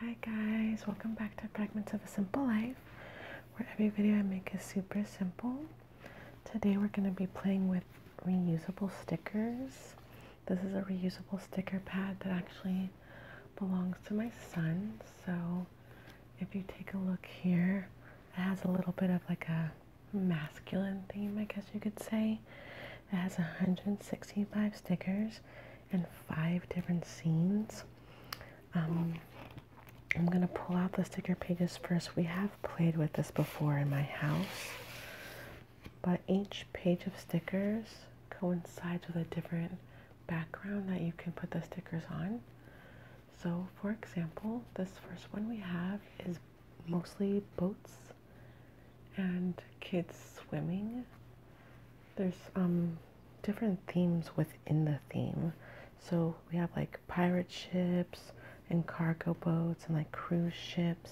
Hi guys, welcome back to Fragments of a Simple Life, where every video I make is super simple. Today we're going to be playing with reusable stickers. This is a reusable sticker pad that actually belongs to my son, so if you take a look here, it has a little bit of like a masculine theme, I guess you could say. It has 165 stickers and five different scenes. Um, I'm gonna pull out the sticker pages first. We have played with this before in my house, but each page of stickers coincides with a different background that you can put the stickers on. So, for example, this first one we have is mostly boats and kids swimming there's um different themes within the theme. So we have like pirate ships and cargo boats and like cruise ships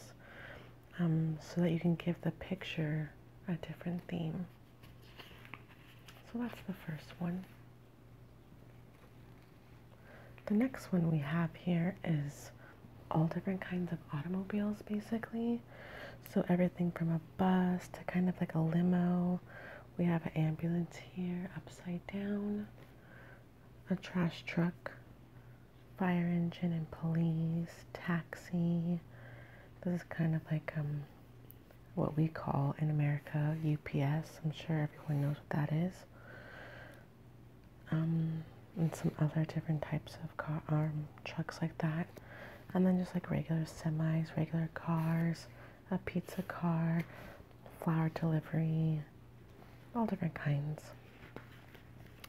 um, so that you can give the picture a different theme. So that's the first one. The next one we have here is all different kinds of automobiles basically. So everything from a bus to kind of like a limo. We have an ambulance here, upside down, a trash truck, fire engine and police, taxi. This is kind of like um, what we call in America UPS. I'm sure everyone knows what that is. Um, and some other different types of car, arm um, trucks like that and then just like regular semis, regular cars, a pizza car, flower delivery, all different kinds.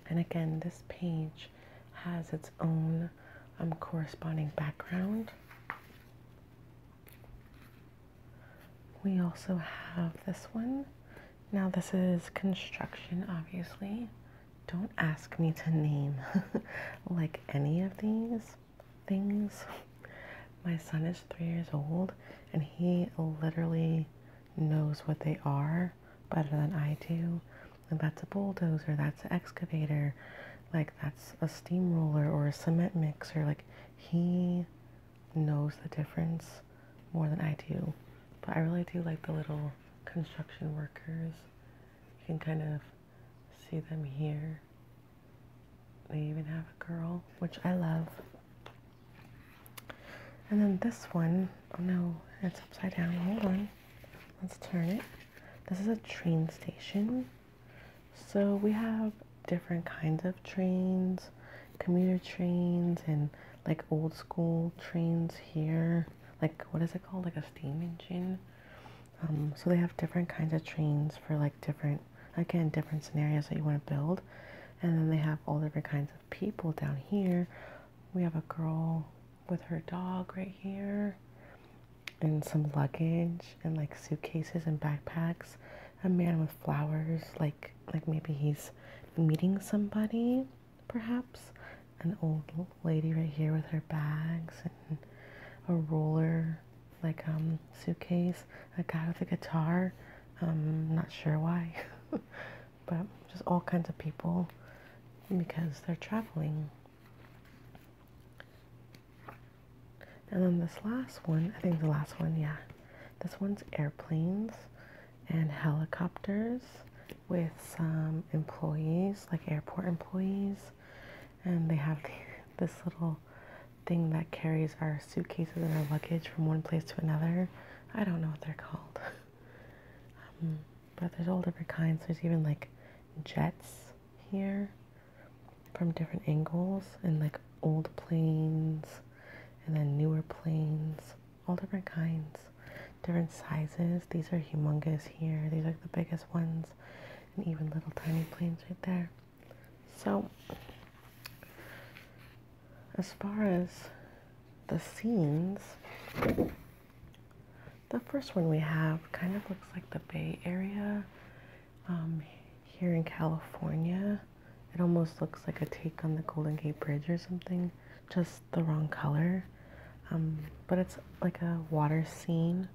And again, this page has its own um, corresponding background. We also have this one. Now, this is construction, obviously don't ask me to name like any of these things. My son is three years old and he literally knows what they are better than I do. And that's a bulldozer, that's an excavator, like that's a steamroller or a cement mixer. Like he knows the difference more than I do. But I really do like the little construction workers you can kind of see them here. They even have a girl, which I love. And then this one, oh no, it's upside down. Hold on. Let's turn it. This is a train station. So we have different kinds of trains, commuter trains and like old school trains here like what is it called like a steam engine um, so they have different kinds of trains for like different again different scenarios that you want to build and then they have all different kinds of people down here we have a girl with her dog right here and some luggage and like suitcases and backpacks a man with flowers like like maybe he's meeting somebody perhaps an old lady right here with her bags and a roller like um suitcase a guy with a guitar I'm um, not sure why but just all kinds of people because they're traveling and then this last one i think the last one yeah this one's airplanes and helicopters with some employees, like airport employees, and they have this little thing that carries our suitcases and our luggage from one place to another. I don't know what they're called. Um, but there's all different kinds. There's even like jets here from different angles and like old planes and then newer planes, all different kinds different sizes. These are humongous here. These are the biggest ones, and even little tiny planes right there. So, as far as the scenes, the first one we have kind of looks like the Bay Area um, here in California. It almost looks like a take on the Golden Gate Bridge or something just the wrong color. Um, but it's like a water scene.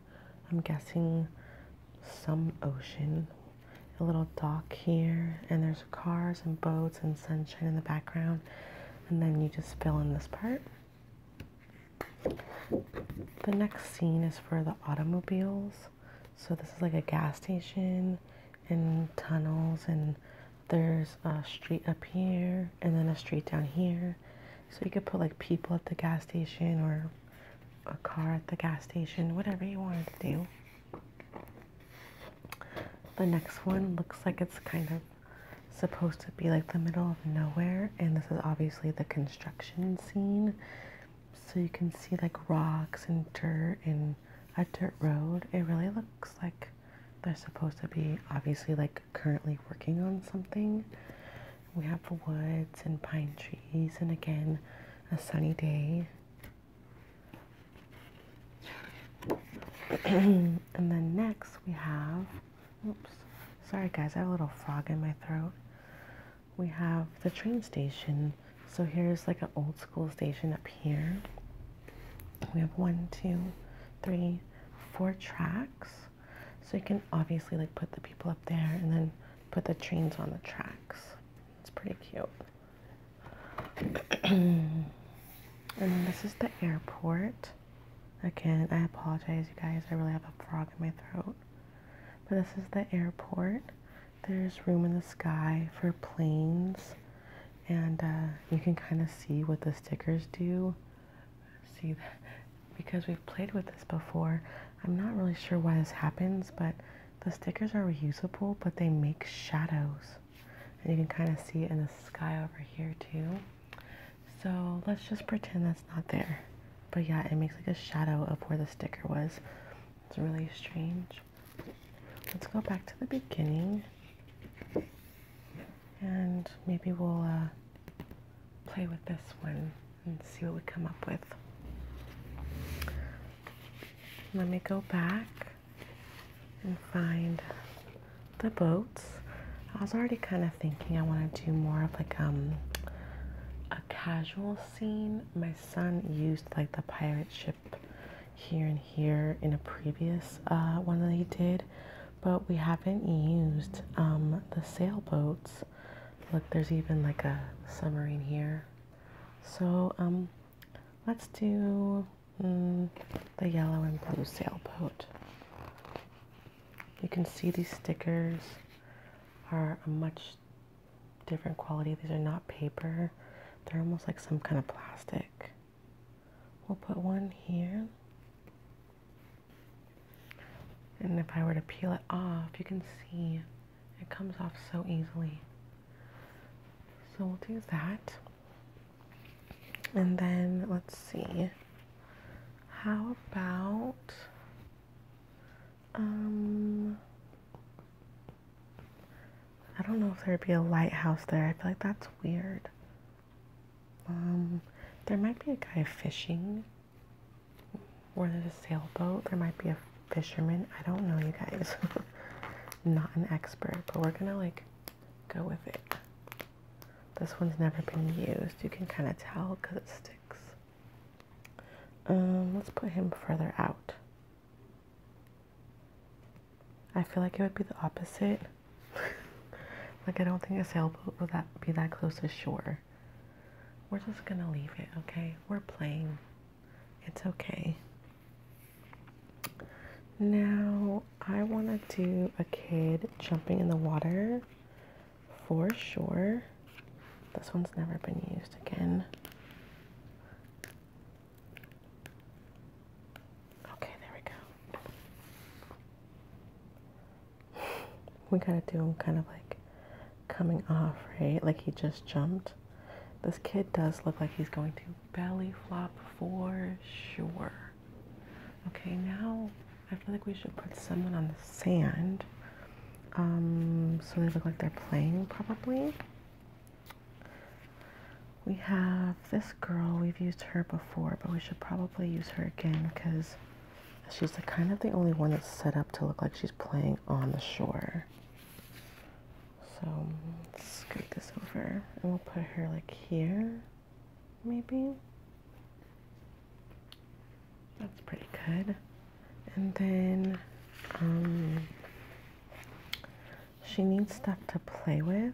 I'm guessing some ocean. A little dock here, and there's cars and boats and sunshine in the background. And then you just fill in this part. The next scene is for the automobiles. So this is like a gas station and tunnels and there's a street up here and then a street down here. So you could put like people at the gas station or a car at the gas station, whatever you wanted to do. The next one looks like it's kind of supposed to be like the middle of nowhere and this is obviously the construction scene so you can see like rocks and dirt and a dirt road it really looks like they're supposed to be obviously like currently working on something. We have the woods and pine trees, and again, a sunny day. and then next we have, oops, sorry guys, I have a little frog in my throat. We have the train station. So here's like an old school station up here. We have one, two, three, four tracks. So you can obviously like put the people up there and then put the trains on the tracks. It's pretty cute. and this is the airport. Again, I apologize you guys. I really have a frog in my throat. But this is the airport. There's room in the sky for planes. And uh, you can kind of see what the stickers do see that because we've played with this before. I'm not really sure why this happens, but the stickers are reusable, but they make shadows. And you can kind of see it in the sky over here too. So let's just pretend that's not there. But yeah, it makes like a shadow of where the sticker was. It's really strange. Let's go back to the beginning and maybe we'll uh, play with this one and see what we come up with. Let me go back and find the boats. I was already kind of thinking I want to do more of like um, a casual scene. My son used like the pirate ship here and here in a previous uh, one that he did, but we haven't used um, the sailboats. Look, there's even like a submarine here. So um, let's do mm, the yellow and blue sailboat. You can see these stickers are a much different quality. These are not paper. They're almost like some kind of plastic. We'll put one here. And if I were to peel it off, you can see it comes off so easily. So we'll do that. And then let's see. How about um I don't know if there'd be a lighthouse there. I feel like that's weird. Um, there might be a guy fishing, or there's a sailboat. There might be a fisherman. I don't know, you guys. Not an expert, but we're gonna like go with it. This one's never been used. You can kind of tell because it sticks. Um, let's put him further out. I feel like it would be the opposite. like, I don't think a sailboat would that be that close to shore. We're just gonna leave it, okay? We're playing. It's okay. Now, I wanna do a kid jumping in the water for sure. This one's never been used again. Okay, there we go we gotta do him kind of like coming off, right? Like he just jumped. This kid does look like he's going to belly flop for sure. Okay, now I feel like we should put someone on the sand. Um, so they look like they're playing probably. We have this girl. We've used her before, but we should probably use her again because she's the kind of the only one that's set up to look like she's playing on the shore. So let's scoot this over and we'll put her like here, maybe. That's pretty good. And then um, she needs stuff to play with.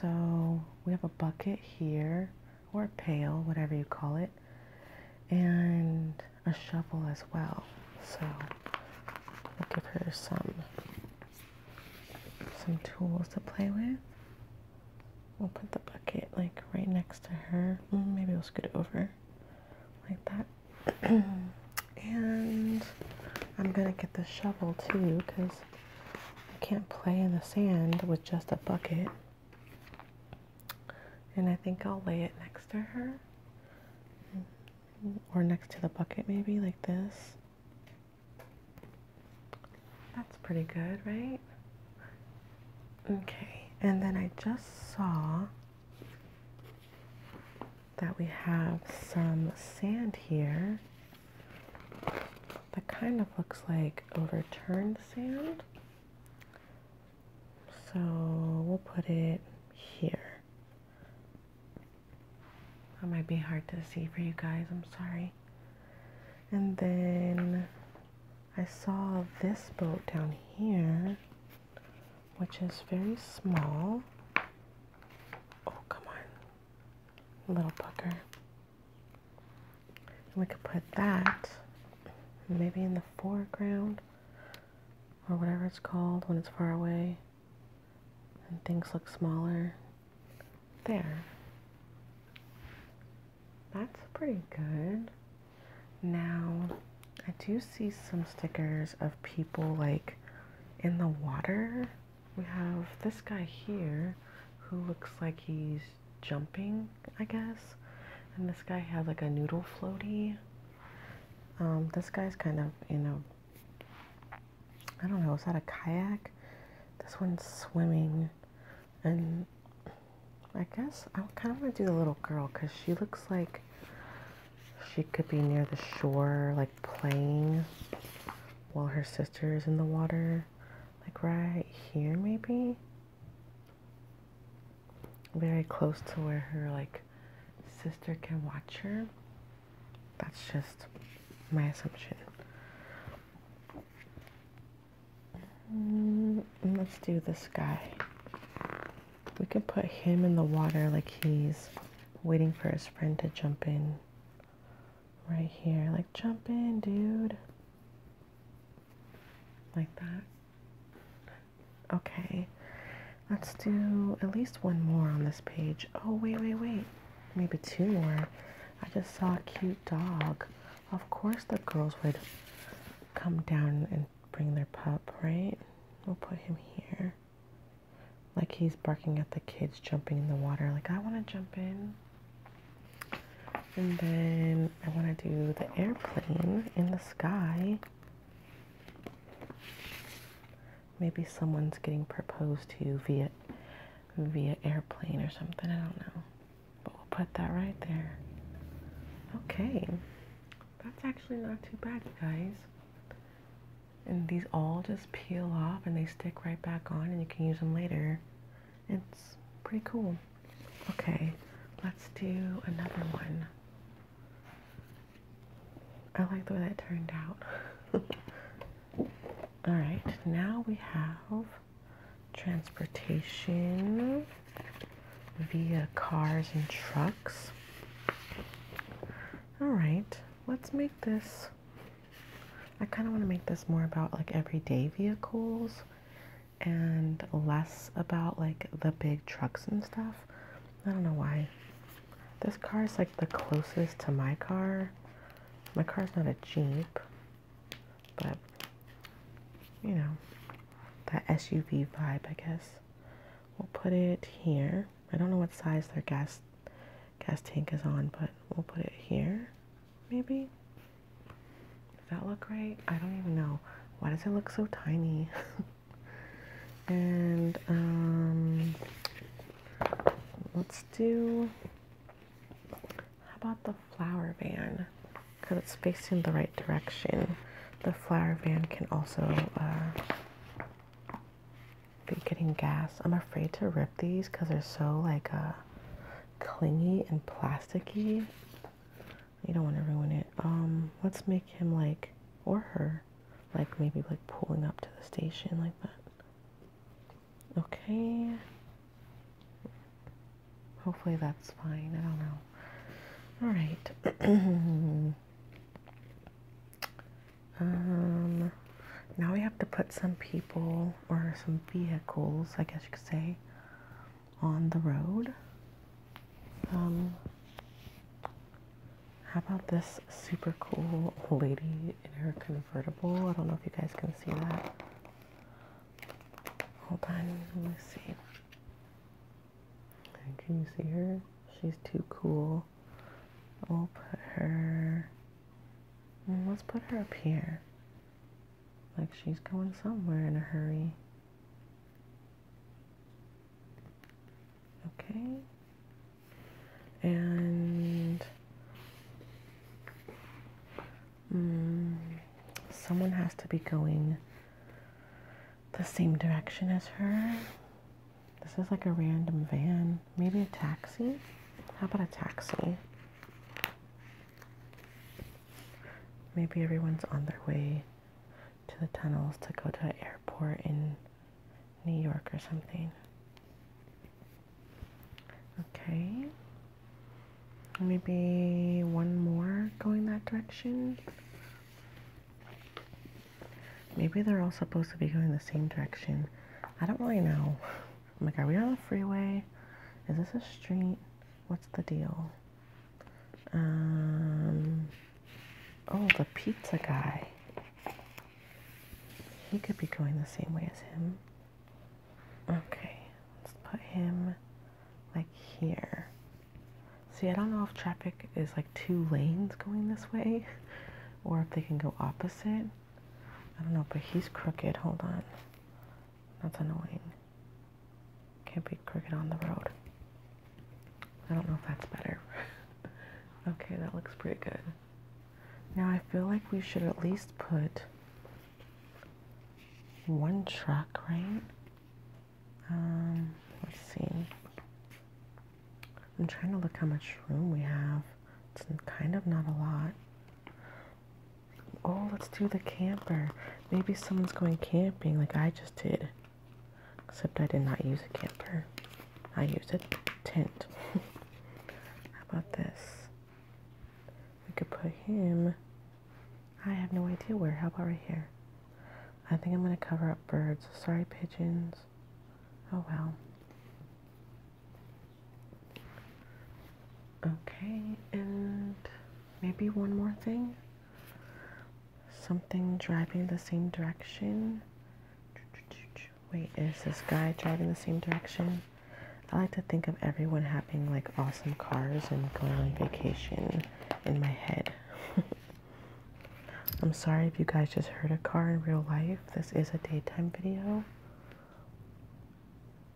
So we have a bucket here, or a pail, whatever you call it, and a shovel as well. So we'll give her some some tools to play with. We'll put the bucket like right next to her. Mm, maybe we'll scoot it over like that. and I'm gonna get the shovel too because I can't play in the sand with just a bucket. And I think I'll lay it next to her. Mm-hmm. Or next to the bucket, maybe like this. That's pretty good, right? Okay, and then I just saw that we have some sand here that kind of looks like overturned sand. So we'll put it here. That might be hard to see for you guys, I'm sorry. And then I saw this boat down here, which is very small. Oh, come on little pucker. we could put that maybe in the foreground or whatever it's called when it's far away and things look smaller. There. That's pretty good. Now, I do see some stickers of people like in the water we have this guy here who looks like he's jumping, I guess. And this guy has like a noodle floaty. Um, this guy's kind of in a, I don't know, is that a kayak? This one's swimming. And I guess I am kind of going to do the little girl because she looks like she could be near the shore, like playing while her sister is in the water, like right here maybe. Very close to where her like sister can watch her. That's just my assumption. Mm, let's do this guy. We can put him in the water like he's waiting for his friend to jump in right here. Like, jump in, dude. Like that. Okay. Let's do at least one more on this page. Oh, wait, wait, wait. Maybe two more. I just saw a cute dog. Of course the girls would come down and bring their pup, right? We'll put him here. Like he's barking at the kids jumping in the water, like, I want to jump in. And then I want to do the airplane in the sky. Maybe someone's getting proposed to via via airplane or something. I don't know. But we'll put that right there. Okay. That's actually not too bad, guys and these all just peel off and they stick right back on and you can use them later. It's pretty cool. Okay, let's do another one. I like the way that turned out. Alright, now we have transportation via cars and trucks. Alright, let's make this I kind of want to make this more about like everyday vehicles and less about like the big trucks and stuff. I don't know why. This car is like the closest to my car. My car is not a Jeep, but you know, that SUV vibe, I guess. We'll put it here. I don't know what size they're gas gas tank is on, but we'll put it here, maybe? Does that look right? I don't even know. Why does it look so tiny? and, um, let's do, how about the flower van? Because it's facing the right direction. The flower van can also, uh, be getting gas. I'm afraid to rip these because they're so like uh, clingy and plasticky. You don't want to ruin it. Um, let's make him like, or her, like maybe like pulling up to the station like that. Okay. Hopefully that's fine. I don't know. All right. Um, now we have to put some people or some vehicles, I guess you could say, on the road. Um, how about this super cool lady in her convertible? I don't know if you guys can see that. Hold on, let me see. Can you see her? She's too cool we'll put her. Let's put her up here. Like she's going somewhere in a hurry. Okay. And um, someone has to be going the same direction as her. This is like a random van. Maybe a taxi? How about a taxi? Maybe everyone's on their way to the tunnels to go to an airport in New York or something. Okay. Maybe one more going that direction. Maybe they're all supposed to be going the same direction. I don't really know. I'm like, are we on the freeway? Is this a street? What's the deal? Um, oh, the pizza guy. He could be going the same way as him. Okay, let's put him like here. See, I don't know if traffic is like two lanes going this way or if they can go opposite. I don't know, but he's crooked. Hold on. That's annoying. Can't be crooked on the road. I don't know if that's better. okay, that looks pretty good. Now I feel like we should at least put one truck, right? Um, let's see. I'm trying to look how much room we have. It's kind of not a lot. Oh, let's do the camper. Maybe someone's going camping like I just did. Except I did not use a camper. I used a tent. how about this? We could put him. I have no idea where. How about right here? I think I'm going to cover up birds. Sorry, pigeons. Oh well. Okay, and maybe one more thing. Something driving the same direction. Wait, is this guy driving the same direction? I like to think of everyone having like awesome cars and going on vacation in my head. I'm sorry if you guys just heard a car in real life. This is a daytime video.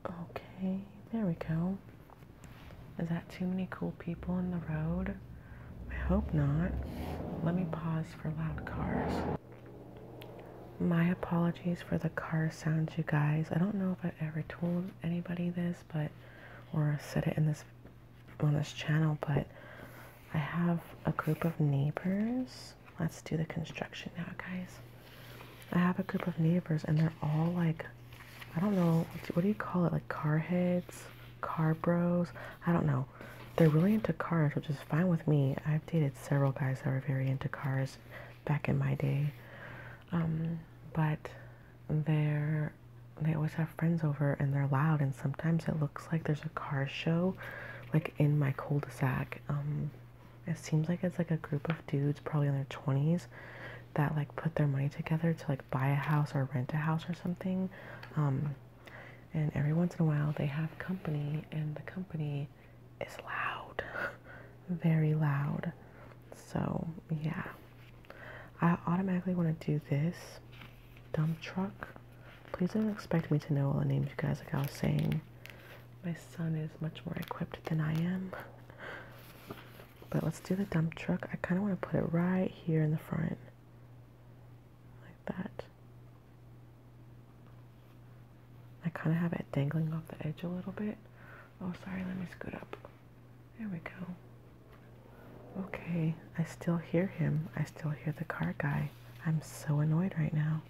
Okay, there we go. Is that too many cool people in the road? I hope not. Let me pause for loud cars. My apologies for the car sounds, you guys. I don't know if i ever told anybody this, but or said it in this on this channel, but I have a group of neighbors. Let's do the construction now, guys. I have a group of neighbors, and they're all like, I don't know, what do you call it? Like car heads, car bros? I don't know. They're really into cars, which is fine with me. I've dated several guys that were very into cars back in my day. Um, but they're they always have friends over and they're loud and sometimes it looks like there's a car show like in my cul-de-sac um, it seems like it's like a group of dudes probably in their 20s that like put their money together to like buy a house or rent a house or something um, and every once in a while they have company and the company is loud very loud so yeah i automatically want to do this dump truck Please don't expect me to know all the names, you guys. Like I was saying, my son is much more equipped than I am. But let's do the dump truck. I kind of want to put it right here in the front. Like that. I kind of have it dangling off the edge a little bit. Oh, sorry, let me scoot up. There we go. Okay, I still hear him. I still hear the car guy. I'm so annoyed right now.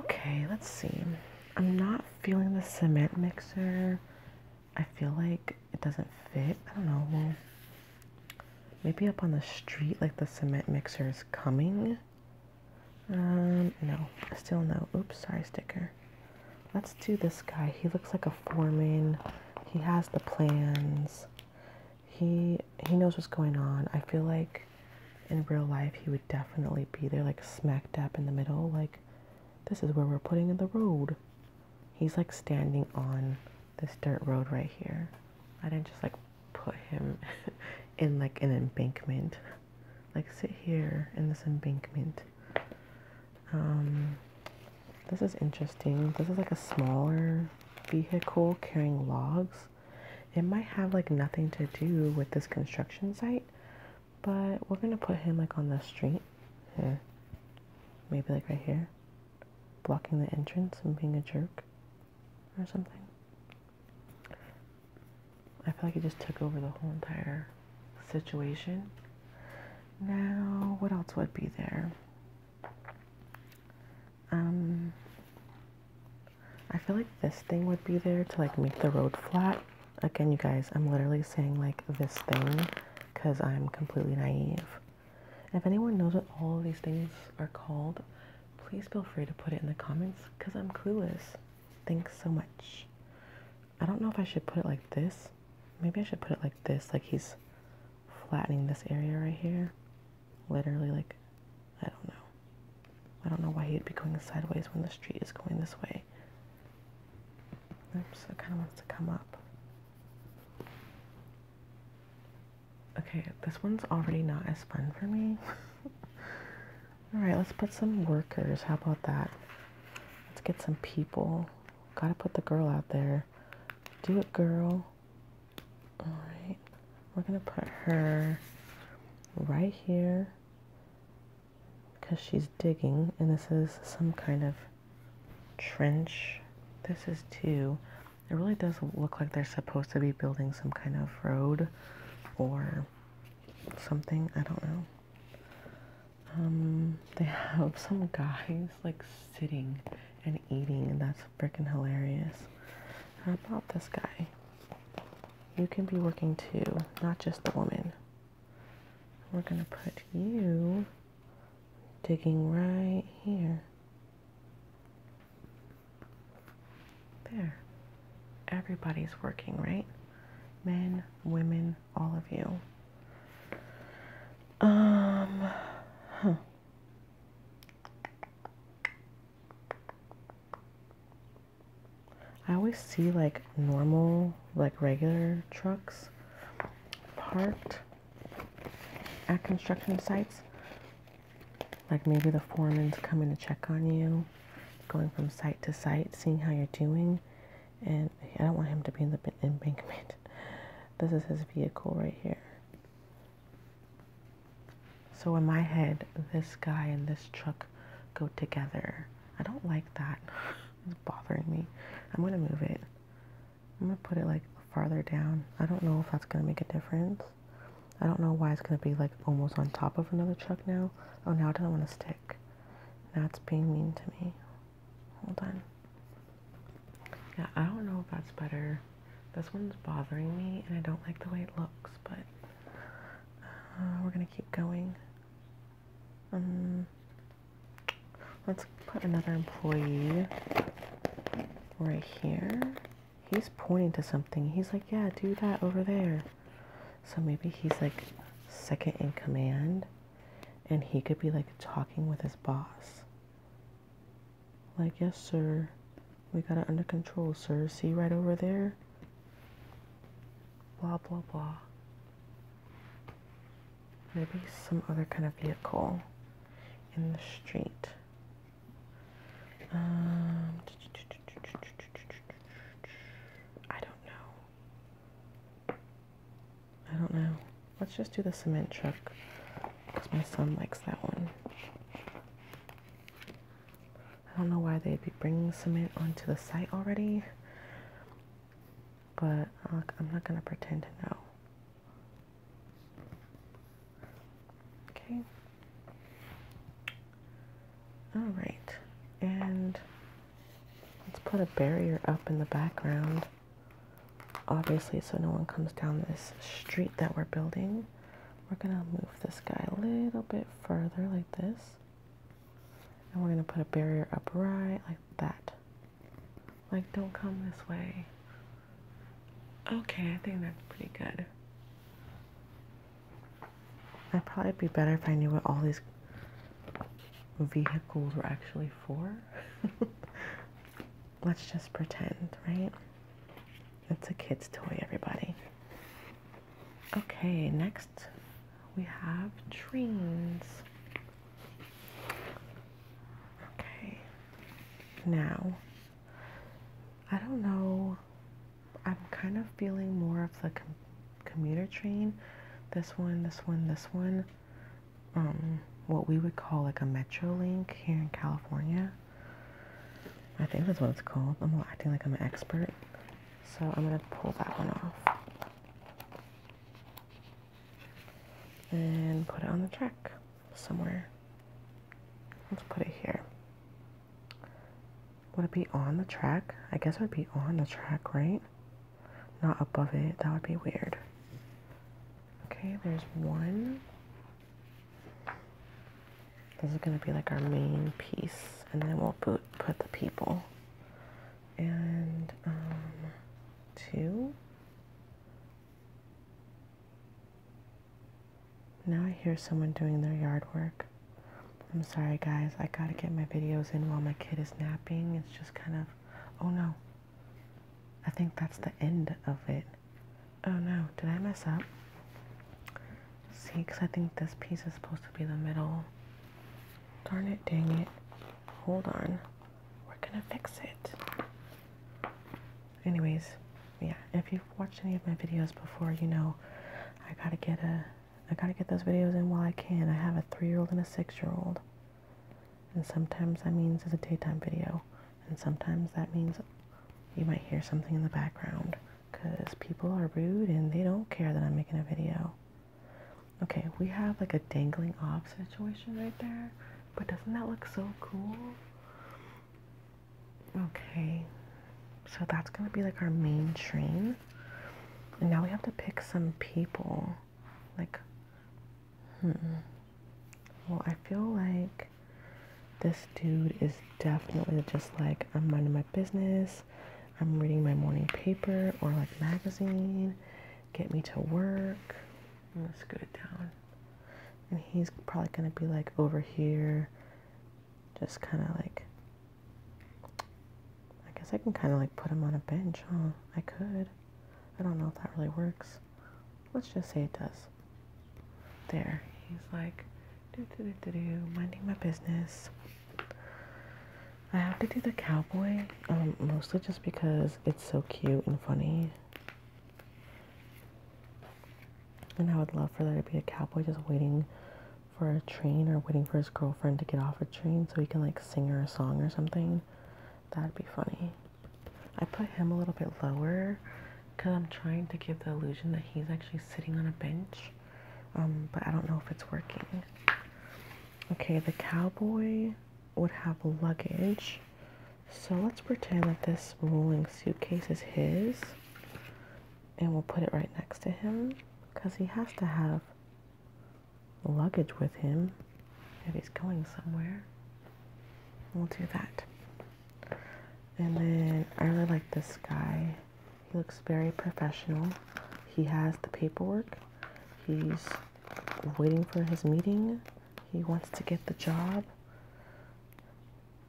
Okay, let's see. I'm not feeling the cement mixer. I feel like it doesn't fit. I don't know. maybe up on the street, like the cement mixer is coming. Um, no, still no. Oops, sorry, sticker. Let's do this guy. He looks like a foreman. He has the plans he he knows what's going on. I feel like in real life he would definitely be there like smack dab in the middle like this is where we're putting in the road. He's like standing on this dirt road right here. I didn't just like put him in like an embankment. Like sit here in this embankment. Um this is interesting. This is like a smaller vehicle carrying logs. It might have like nothing to do with this construction site, but we're gonna put him like on the street here. Maybe like right here, blocking the entrance and being a jerk or something. I feel like he just took over the whole entire situation. Now, what else would be there? Um, I feel like this thing would be there to like make the road flat. Again, you guys, I'm literally saying like this thing because I'm completely naive. If anyone knows what all of these things are called, please feel free to put it in the comments because I'm clueless. Thanks so much. I don't know if I should put it like this. Maybe I should put it like this, like he's flattening this area right here. Literally, like, I don't know. I don't know why he'd be going sideways when the street is going this way. Oops, it kind of wants to come up. Okay, this one's already not as fun for me. Alright, let's put some workers. How about that? Let's get some people. Gotta put the girl out there. Do it, girl. Alright, we're going to put her right here because she's digging, and this is some kind of trench. This is two. It really does look like they're supposed to be building some kind of road or something. I don't know. Um, they have some guys like sitting and eating, and that's freaking hilarious. How about this guy? You can be working too, not just the woman. We're gonna put you digging right here. There. Everybody's working, right? Men, women, all of you. Um, I always see like normal, like regular trucks parked at construction sites. Like maybe the foreman's coming to check on you, going from site to site, seeing how you're doing. And I don't want him to be in the embankment. This is his vehicle right here. So in my head, this guy and this truck go together. I don't like that. It's bothering me. I'm going to move it. I'm going to put it like farther down. I don't know if that's going to make a difference. I don't know why it's going to be like almost on top of another truck now. Oh, now it doesn't want to stick. Now it's being mean to me. Hold on. Yeah, I don't know if that's better. This one's bothering me, and I don't like the way it looks, but uh, we're gonna keep going. Um, let's put another employee right here. He's pointing to something. He's like, yeah, do that over there. So maybe he's like second in command, and he could be like talking with his boss. Like, yes, sir. We got it under control, sir. See right over there? Blah, blah, blah. Maybe some other kind of vehicle in the street. Um, I don't know. I don't know. Let's just do the cement truck because my son likes that one. I don't know why they'd be bringing cement onto the site already, but I'm not going to pretend to know. Okay. All right. And let's put a barrier up in the background obviously so no one comes down this street that we're building we're gonna move this guy a little bit further like this and we're gonna put a barrier up right like that like don't come this way okay I think that's pretty good I'd probably be better if I knew what all these vehicles were actually for let's just pretend, right? It's a kid's toy, everybody. Okay, next we have trains. Okay, now I don't know. I'm kind of feeling more of the com commuter train. This one, this one, this one um, what we would call like a Metrolink here in California. I think that's what it's called. I'm acting like I'm an expert. So I'm going to pull that one off. And put it on the track somewhere. Let's put it here. Would it be on the track? I guess it would be on the track, right? Not above it. That would be weird. Okay, there's one. This is going to be like our main piece, and then we'll put, put the people. And um, two. Now I hear someone doing their yard work. I'm sorry guys, I gotta get my videos in while my kid is napping. It's just kind of, oh no, I think that's the end of it. Oh no, did I mess up? See, because I think this piece is supposed to be the middle. Darn it, dang it. Hold on. We're gonna fix it. Anyways, yeah, if you've watched any of my videos before, you know I gotta get a I gotta get those videos in while I can. I have a three-year-old and a six-year-old. And sometimes that means it's a daytime video, and sometimes that means you might hear something in the background because people are rude and they don't care that I'm making a video. Okay, we have like a dangling off situation right there, but doesn't that look so cool? Okay, so that's gonna be like our main train. And now we have to pick some people. Like, hmm. Well, I feel like this dude is definitely just like, I'm minding my business, I'm reading my morning paper or like magazine, get me to work. I'm scoot it down. And he's probably gonna be like over here, just kind of like, I guess I can kind of like put him on a bench, huh? I could. I don't know if that really works. Let's just say it does. There, he's like, minding my business. I have to do the cowboy, um, mostly just because it's so cute and funny. And I would love for there to be a cowboy just waiting for a train or waiting for his girlfriend to get off a train so he can like sing her a song or something. That'd be funny. I put him a little bit lower because I'm trying to give the illusion that he's actually sitting on a bench. Um, but I don't know if it's working. Okay, the cowboy would have luggage. So let's pretend that this rolling suitcase is his. And we'll put it right next to him because he has to have luggage with him if he's going somewhere. We'll do that. And then I really like this guy. He looks very professional. He has the paperwork. He's waiting for his meeting. He wants to get the job.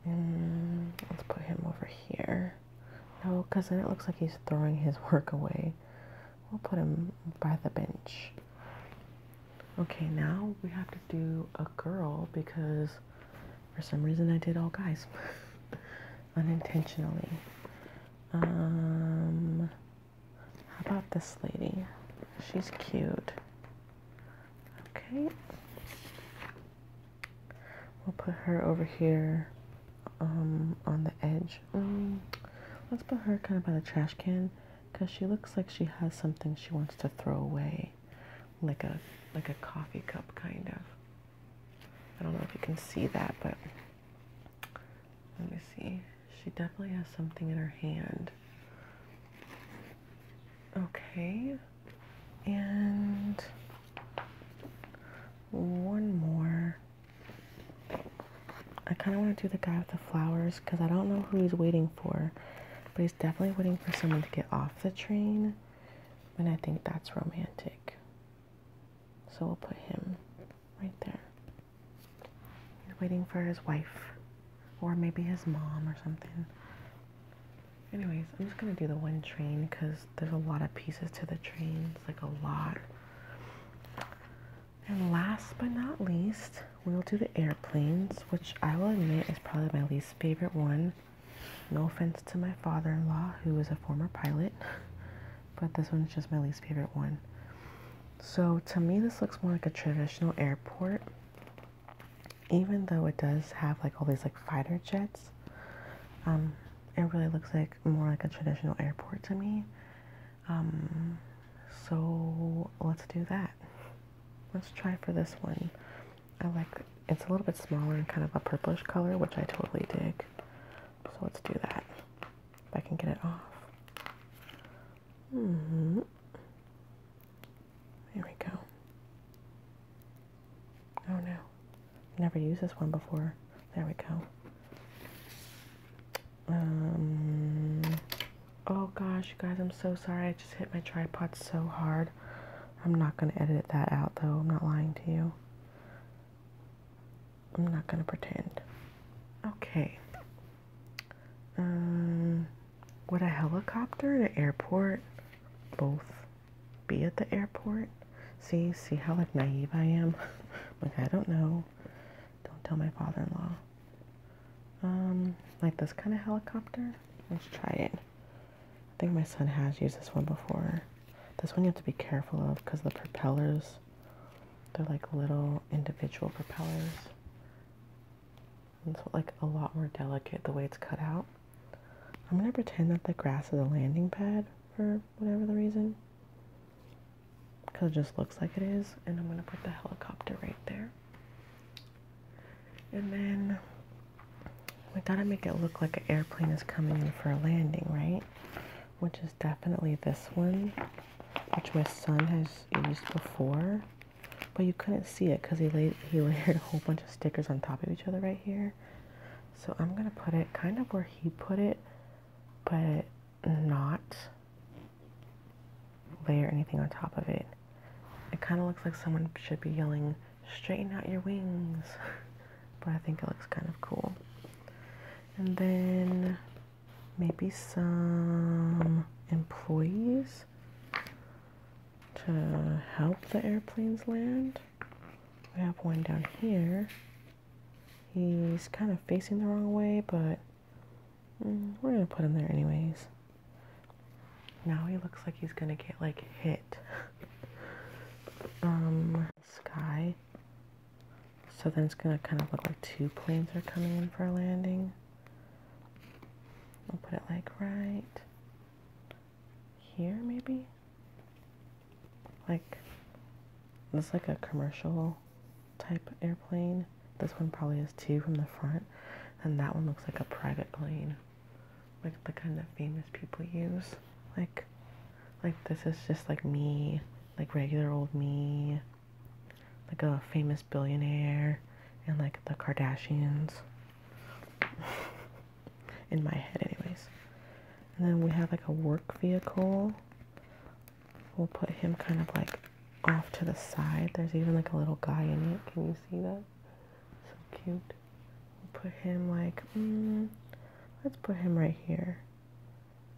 And let's put him over here. No, because then it looks like he's throwing his work away. We'll put him by the bench. Okay, now we have to do a girl because for some reason I did all guys unintentionally. Um, how about this lady? She's cute. Okay. We'll put her over here um, on the edge. Mm, let's put her kind of by the trash can because she looks like she has something she wants to throw away, like a like a coffee cup kind of. I don't know if you can see that, but let me see. She definitely has something in her hand. Okay. And one more. I kind of want to do the guy with the flowers because I don't know who he's waiting for, but he's definitely waiting for someone to get off the train, and I think that's romantic. So we'll put him right there. He's waiting for his wife, or maybe his mom or something. Anyways, I'm just gonna do the one train because there's a lot of pieces to the trains, like a lot. And last but not least, we'll do the airplanes, which I will admit is probably my least favorite one. No offense to my father in law, who is a former pilot, but this one is just my least favorite one. So to me, this looks more like a traditional airport, even though it does have like all these like fighter jets. Um, it really looks like more like a traditional airport to me. Um, so let's do that. Let's try for this one. I like it's a little bit smaller and kind of a purplish color, which I totally dig. So let's do that. If I can get it off. -hmm. There we go. Oh no. Never used this one before. There we go. Um, oh gosh, you guys, I'm so sorry. I just hit my tripod so hard. I'm not going to edit that out, though. I'm not lying to you. I'm not going to pretend. Okay. Um, would a helicopter and an airport both be at the airport? See, see how like naive I am? like I don't know. Don't tell my father-in-law. Um, like this kind of helicopter. Let's try it. I think my son has used this one before. This one you have to be careful of because the propellers, they're like little individual propellers. It's like a lot more delicate the way it's cut out. I'm gonna pretend that the grass is a landing pad for whatever the reason because it just looks like it is. And I'm going to put the helicopter right there. And then we got to make it look like an airplane is coming in for a landing, right? Which is definitely this one, which my son has used before. But you couldn't see it because he laid, he layered a whole bunch of stickers on top of each other right here. So I'm going to put it kind of where he put it, but not layer anything on top of it. It kind of looks like someone should be yelling, straighten out your wings. but I think it looks kind of cool. And then maybe some employees to help the airplanes land. We have one down here. He's kind of facing the wrong way, but Mm, we're gonna put him there anyways. Now he looks like he's gonna get like hit. um, sky. So then it's gonna kind of look like two planes are coming in for a landing. I'll put it like right here, maybe. Like, it's like a commercial type airplane. This one probably is two from the front, and that one looks like a private plane, like the kind that famous people use. Like, like this is just like me, like regular old me, like a famous billionaire, and like the Kardashians. In my head, anyways. And then we have like a work vehicle we'll put him kind of like off to the side. There's even like a little guy in it. Can you see that? So cute. We'll put him like, mm, let's put him right here.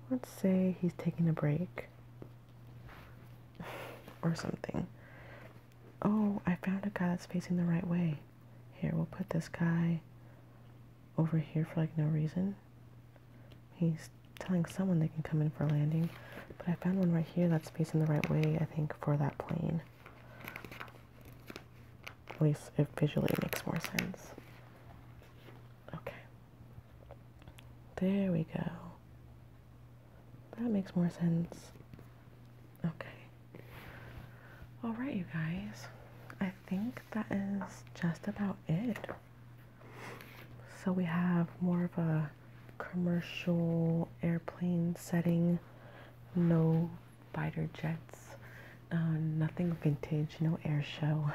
Let's say he's taking a break or something. Oh, I found a guy that's facing the right way. Here, we'll put this guy over here for like no reason. He's telling someone they can come in for landing, but I found one right here that's facing the right way, I think, for that plane. At least it visually makes more sense. Okay. There we go. That makes more sense. Okay. Alright, you guys. I think that is just about it so we have more of a commercial airplane setting, no fighter jets, uh, nothing vintage, no air show.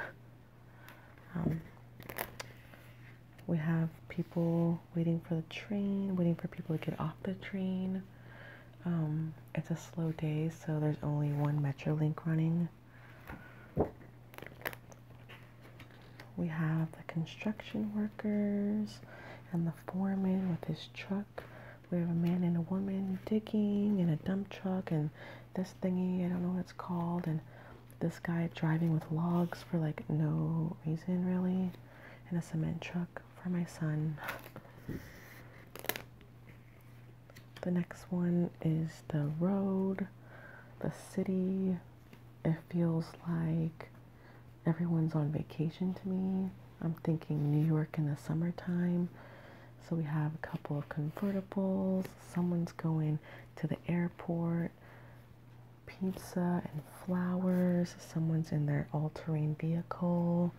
Um, we have people waiting for the train, waiting for people to get off the train. Um, it's a slow day, so there's only one Metrolink running. We have the construction workers and the foreman with his truck. We have a man and a woman digging in a dump truck and this thingy, I don't know what it's called, and this guy driving with logs for like no reason really, and a cement truck for my son. The next one is the road, the city. It feels like everyone's on vacation to me. I'm thinking New York in the summertime. So we have a couple of convertibles. Someone's going to the airport. Pizza and flowers. Someone's in their all terrain vehicle.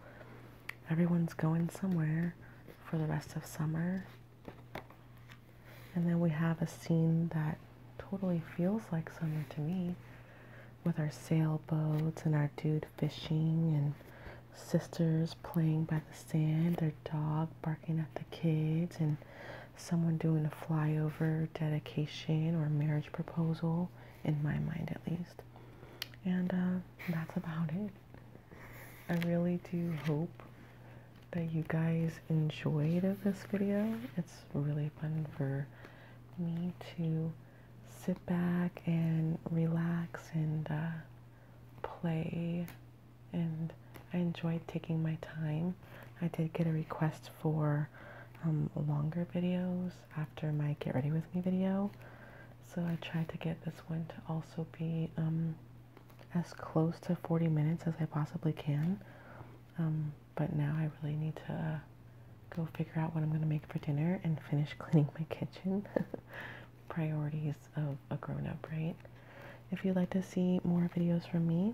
Everyone's going somewhere for the rest of summer. And then we have a scene that totally feels like summer to me with our sailboats and our dude fishing and sisters playing by the sand, their dog barking at the kids, and someone doing a flyover dedication or marriage proposal, in my mind at least. And uh, that's about it. I really do hope that you guys enjoyed this video. It's really fun for me to sit back and relax and uh, play and I enjoy taking my time. I did get a request for um, longer videos after my get ready with me video. So I tried to get this one to also be um, as close to 40 minutes as I possibly can. Um, but now I really need to go figure out what I'm going to make for dinner and finish cleaning my kitchen. Priorities of a grown up, right? If you'd like to see more videos from me,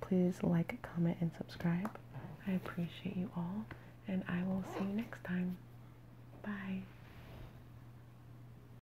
please like, comment, and subscribe. I appreciate you all, and I will see you next time. Bye.